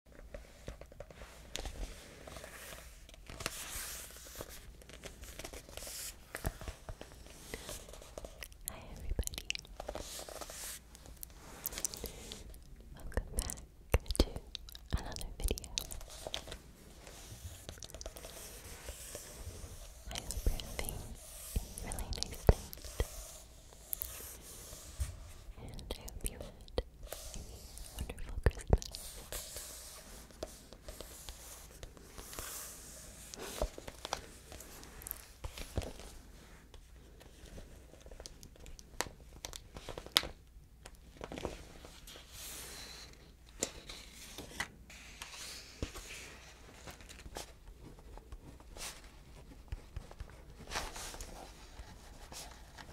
Hi everybody. Welcome back to another video. I hope you're having really nice night. And I hope you had wonderful Christmas.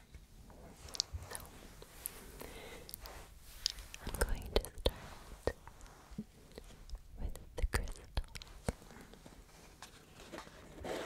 So, I'm going to start with the crystals. Right here.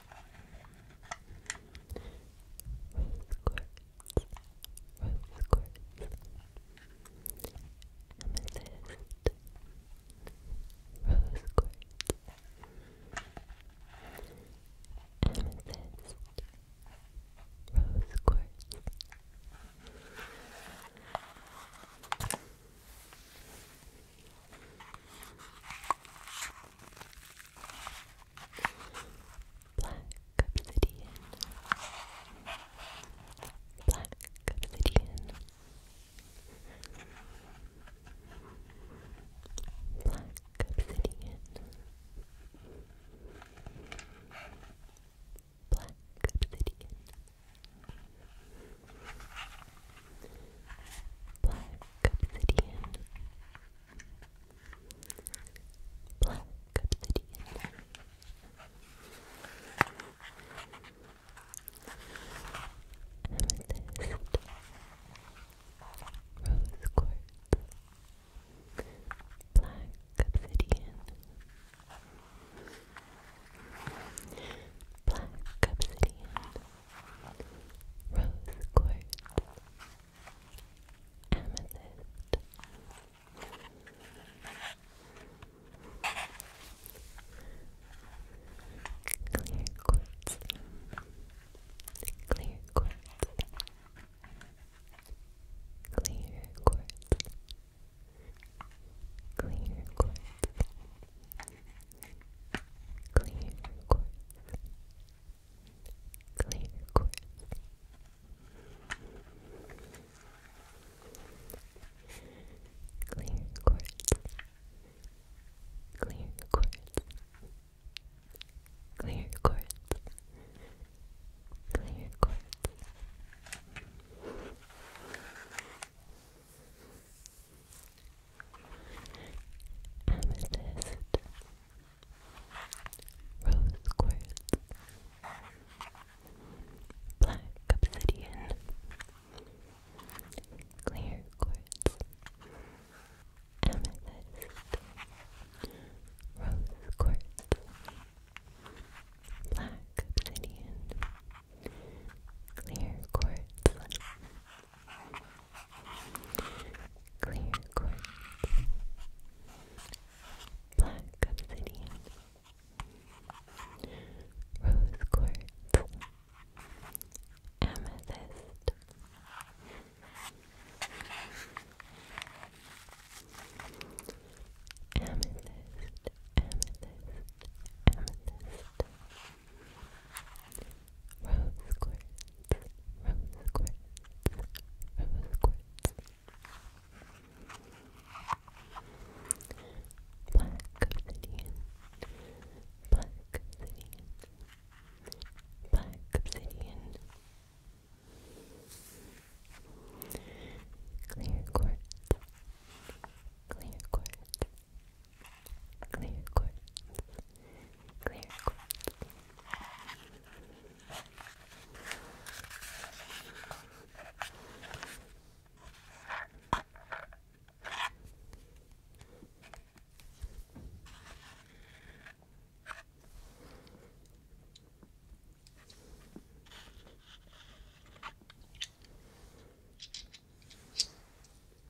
rose quartz, rose quartz, amethyst, rose quartz, amethyst, rose quartz. Black obsidian. Black obsidian. Black obsidian. Black obsidian. Black obsidian. Black obsidian. Amethyst. Rose quartz. Black obsidian. Black obsidian. Rose quartz amethyst. Clear quartz. Clear quartz. Clear quartz. Clear quartz. Clear quartz clear quartz. Clear quartz. Clear quartz. Clear quartz. Clear quartz. Amethyst rose quartz, black obsidian, clear quartz, amethyst, rose quartz, black obsidian, clear quartz, Clear quartz. Black obsidian. Rose quartz. Amethyst. Amethyst, amethyst, amethyst, rose quartz, rose quartz, rose quartz. Black obsidian, black obsidian, black obsidian. Clear quartz, clear quartz, clear quartz, clear quote.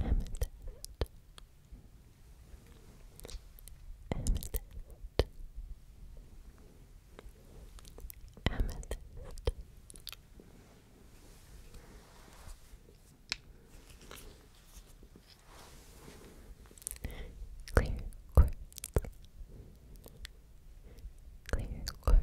Amethyst. Amethyst. Amethyst. Clear quartz. Clear quartz.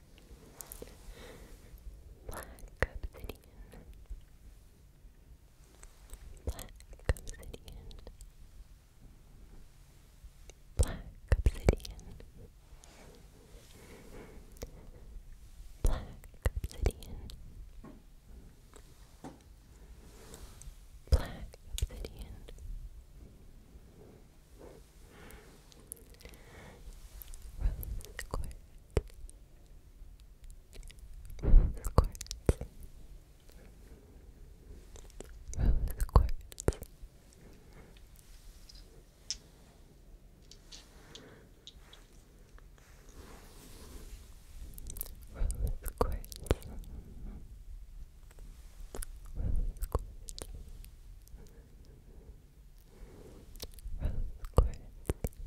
Black obsidian. Black obsidian. Black obsidian. Black obsidian. Black obsidian. Rose quartz. Rose quartz. Rose Rose quartz Rose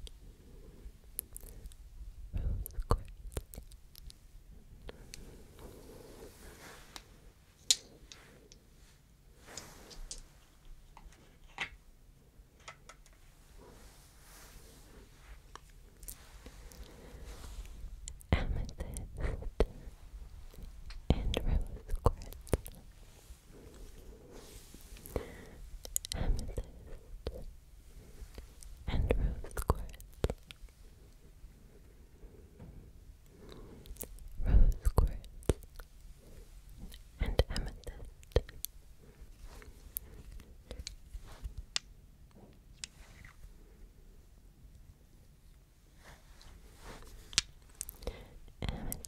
quartz Amethyst and rose quartz amethyst, and rose quartz. Rose quartz and amethyst amethyst, and rose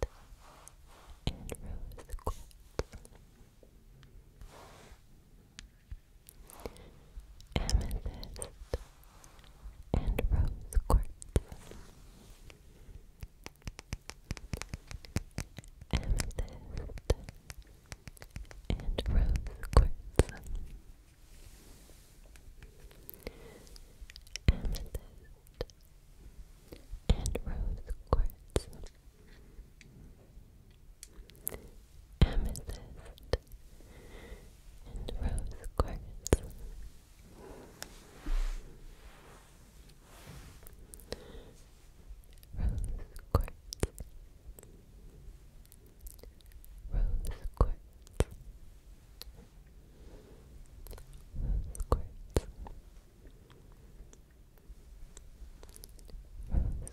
quartz. Amethyst and rose quartz. Amethyst and rose quartz. Amethyst and rose quartz, amethyst, and rose quartz. Rose quartz, rose quartz, Squirts. Rose quartz Amethyst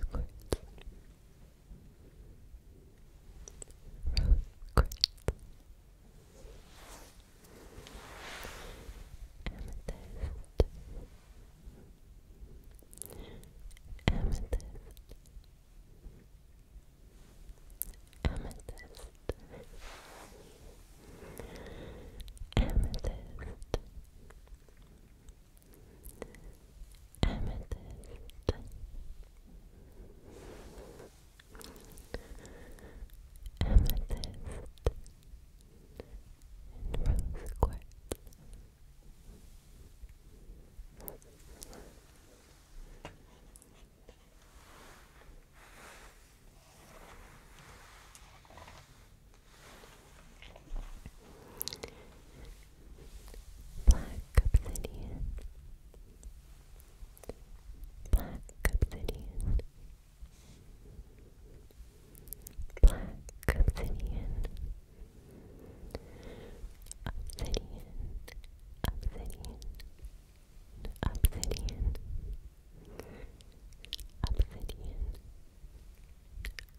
Amethyst Amethyst Amethyst Amethyst Amethyst Rose Quartz Black obsidian, black obsidian, black obsidian, obsidian, obsidian obsidian, obsidian,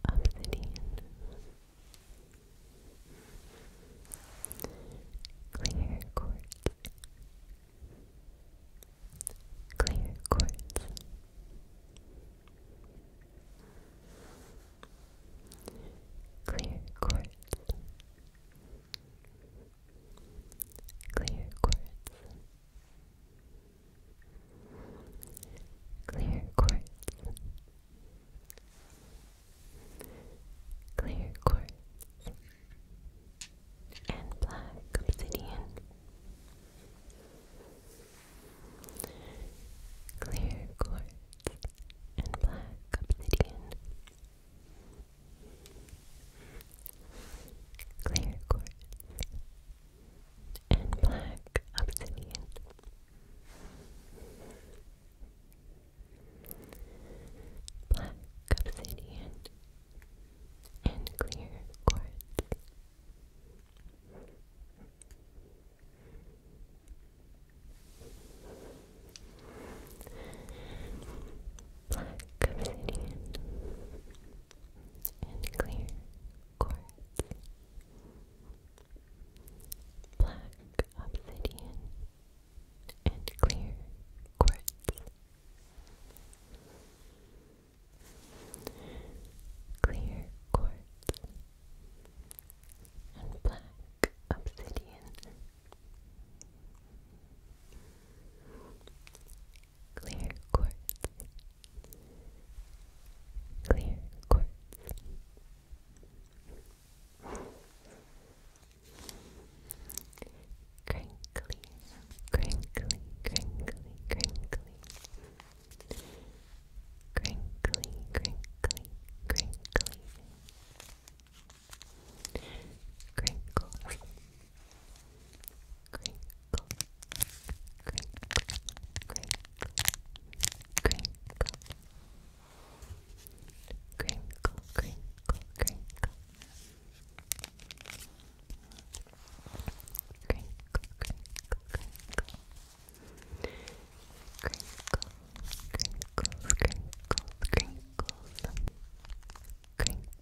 obsidian. Clear quartz, clear quartz. Clear quartz, clear quartz, clear quartz, clear quartz, and black obsidian. Clear quartz and black obsidian clear quartz, and black obsidian. Black obsidian and clear quartz black obsidian, and clear quartz. Black obsidian and clear quartz. Clear quartz and black obsidian Clear quartz. Clear quartz. Crinkly, crinkly, crinkly, crinkly. Crinkly, crinkly, crinkly crinkle, crinkle, crinkle, crinkle, crinkle, crinkle, crinkle, crinkle. Crinkle, crinkle, crinkle. Crinkle, crinkles, crinkles, crinkles. Crinkle,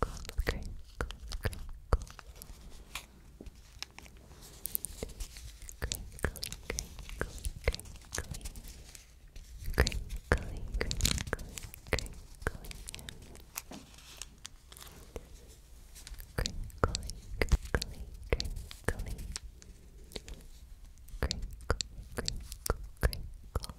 cold cream, cold cream, cold cream, cream, cream, cream, cream, cream, cream, cream, cream, cream, Crinkly, crinkly, crinkly. Crinkle, crinkle, crinkle.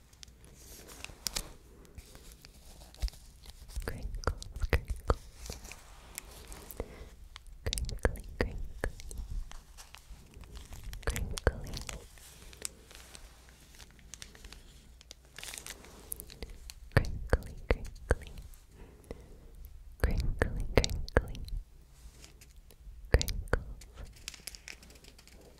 Crinkles, crinkles. Crinkly, crinkly. Crinkly. Crinkly, crinkly. Crinkly, crinkly. Crinkles. Crinkles.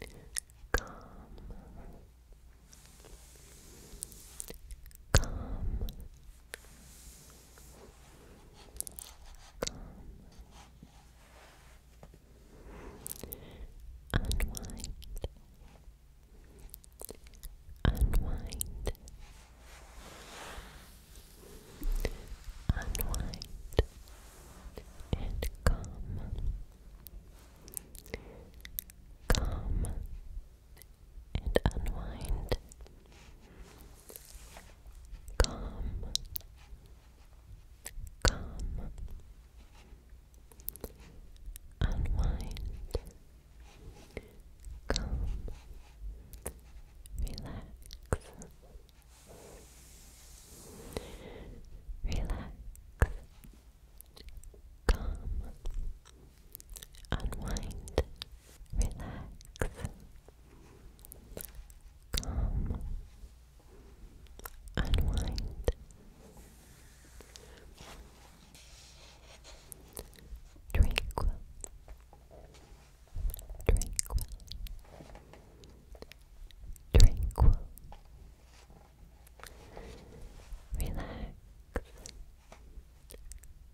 Calm. Calm. Calm. Unwind. Unwind. Unwind and calm. Calm and unwind. Calm. Calm. Unwind. Calm. Relax. Relax, calm, unwind, relax, calm, unwind. Tranquil, tranquil, tranquil, relax,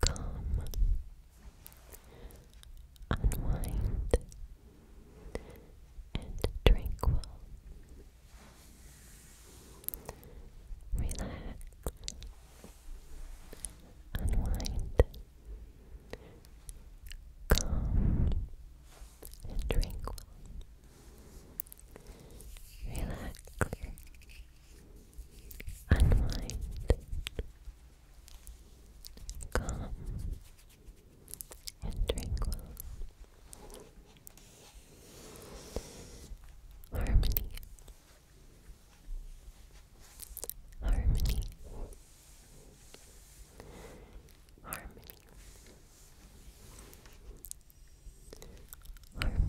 calm, unwind, and tranquil. Relax, unwind, calm, and tranquil. Relax, unwind, calm, and tranquil. Harmony, harmony, harmony, harmony.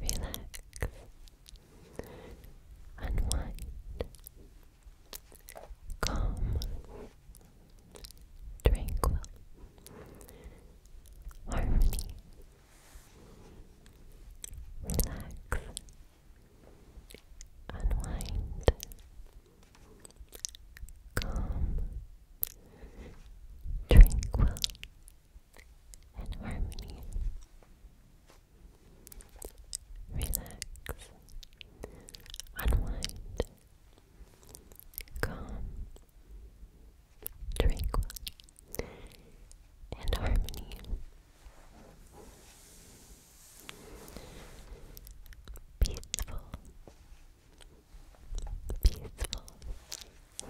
Relax, unwind, calm, tranquil, harmony. Relax, unwind, calm, tranquil, and harmony. Relax, unwind, calm, tranquil, and harmony peaceful, peaceful, peaceful, peaceful.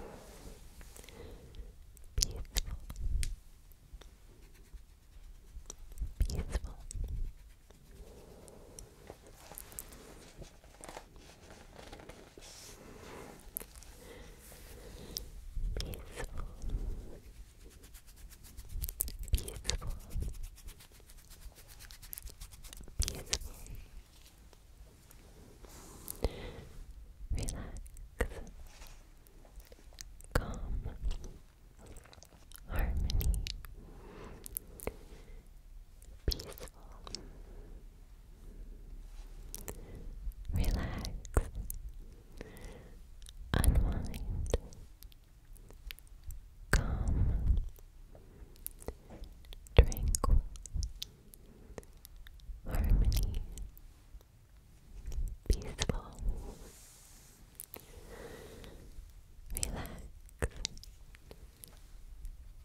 Peaceful, Beautiful. Beautiful. Relax. Calm. Harmony. Peaceful. Relax unwind, calm, tranquil, harmony, peaceful, relax,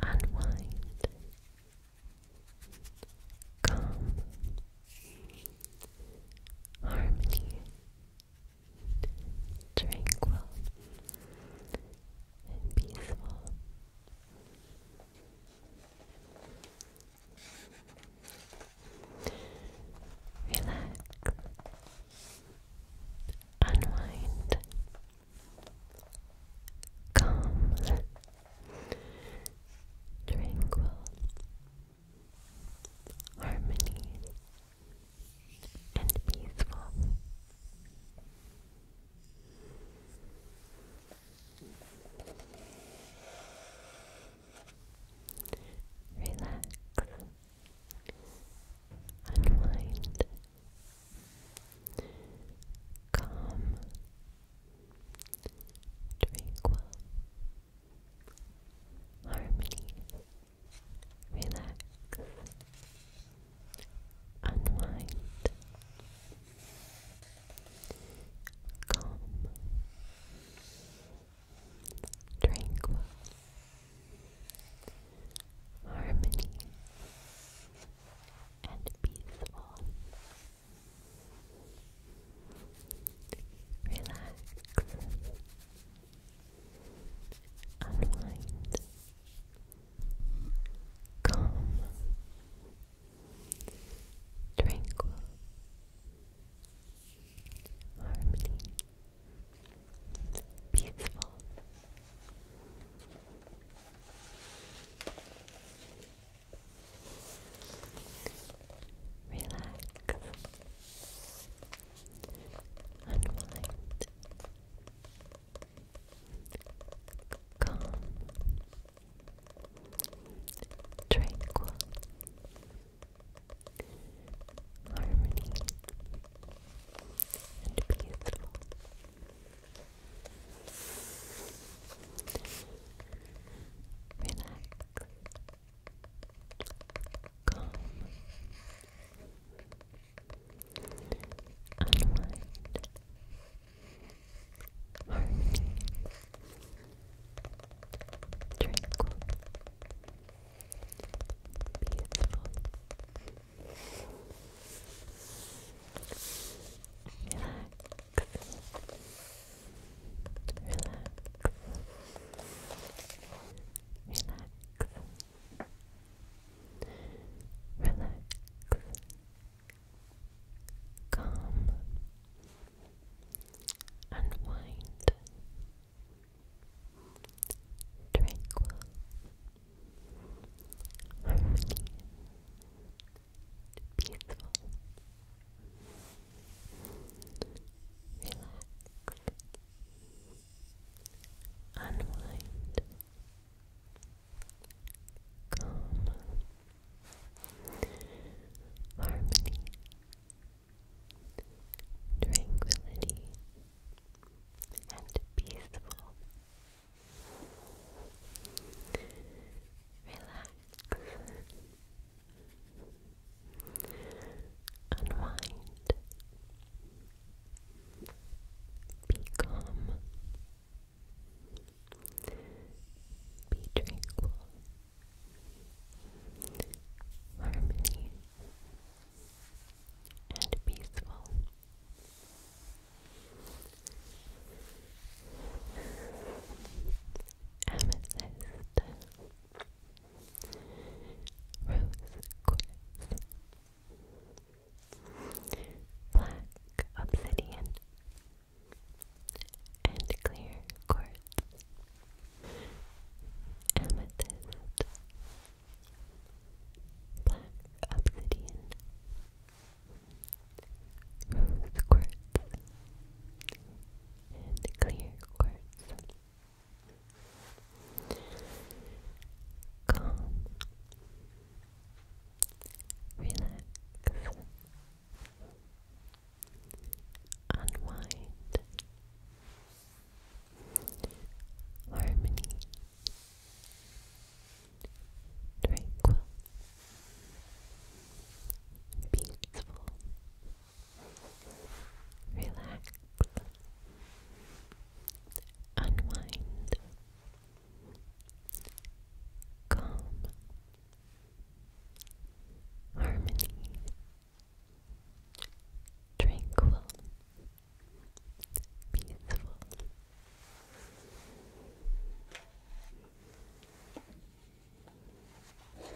unwind, calm harmony, tranquil, and peaceful. Relax, unwind, calm, tranquil, harmony, and peaceful. Relax, unwind, calm, tranquil harmony, relax, unwind, calm, tranquil, harmony, and peaceful relax, unwind, calm, tranquil, harmony, peaceful. Relax, Unwind. Calm. Tranquil. Harmony. And beautiful. Relax calm unwind harmony tranquil beautiful relax Relax. Relax. Relax. Calm. Unwind. Tranquil. Harmony. Peaceful relax, unwind, calm, harmony, tranquility, and peaceful. Relax, Unwind. Be Be tranquil. Harmony. And peaceful. Amethyst. Rose quartz. Black obsidian. And clear quartz. Amethyst. Black obsidian. Rose quartz and clear quartz. Calm, relax, unwind, harmony, tranquil, peaceful relax, unwind, calm, harmony, tranquil, peaceful. Amethyst Rose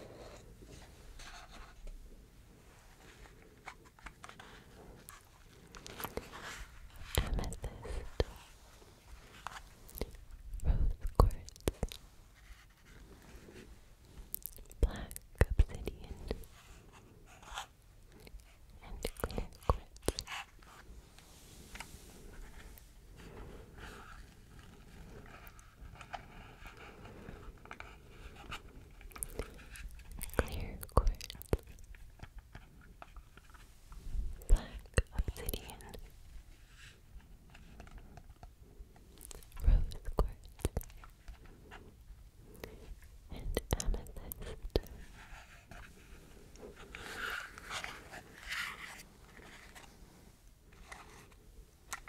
Quartz Black Obsidian and Clear Quartz Clear quartz. Black obsidian. Rose quartz. And amethyst clear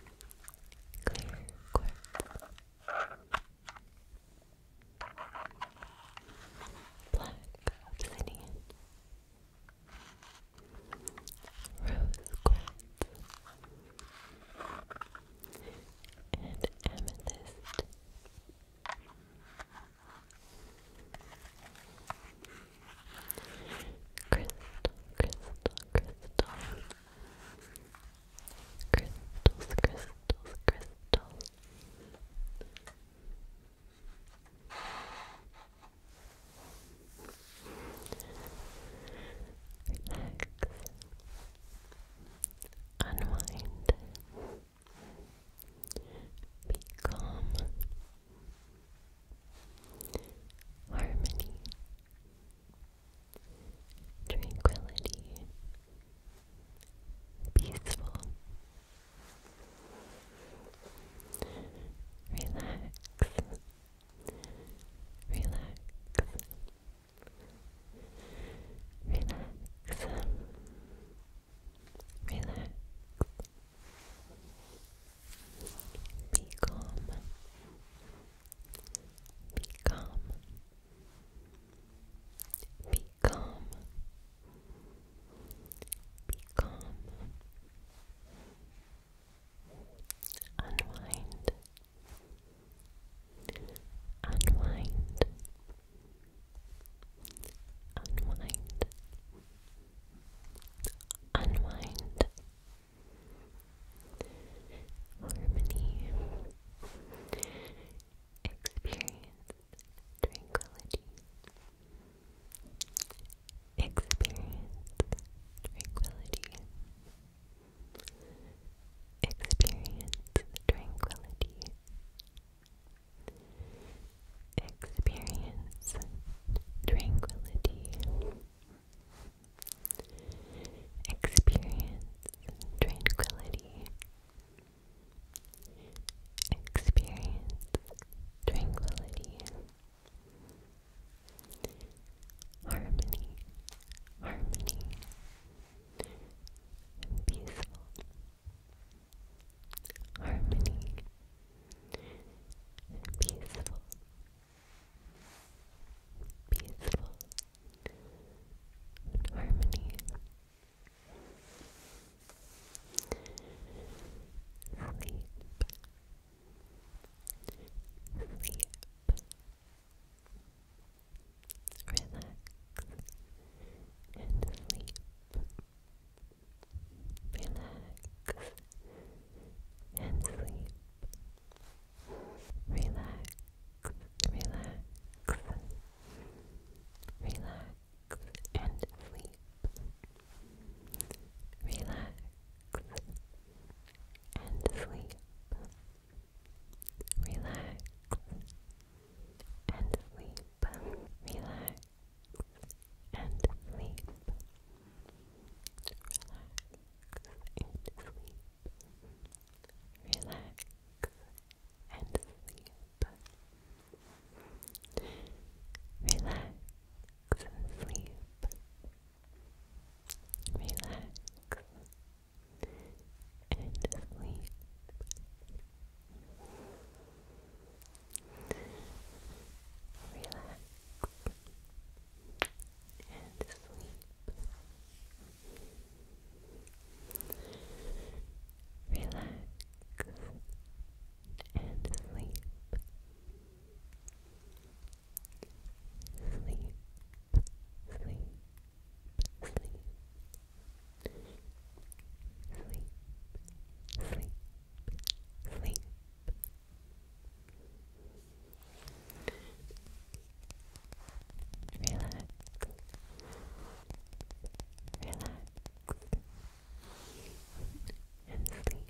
quartz, black obsidian, rose quartz, and amethyst. Crystal, crystal, crystal. Crystals, crystals, crystals. Relax. Unwind. Be Harmony tranquility, peaceful, relax, relax, relax, relax. Be calm. Be calm. Be calm. Be calm. Unwind. Unwind. Unwind. Unwind. Unwind harmony, experience tranquility, experience tranquility, experience tranquility. Experience tranquility. Experience tranquility. Experience tranquility. Experience tranquility. Harmony, harmony, peaceful. Harmony, peaceful peaceful and harmony. Sleep. Sleep. Relax and sleep. Relax and sleep relax, relax, relax and sleep. Relax and sleep. Relax and sleep. Relax and sleep and sleep. Relax and sleep. Relax and sleep. Relax and sleep. Relax and sleep. Relax and sleep. Sleep, sleep, sleep. Sleep, sleep, sleep. Relax. Relax. And sleep.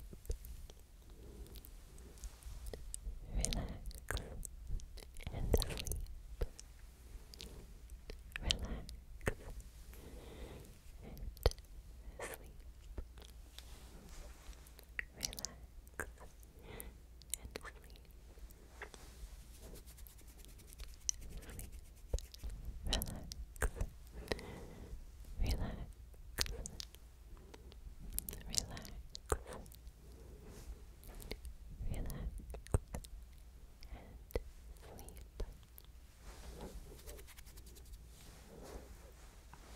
Relax and sleep. Relax and sleep relax, and sleep. Sleep, relax, relax, relax, relax, and sleep.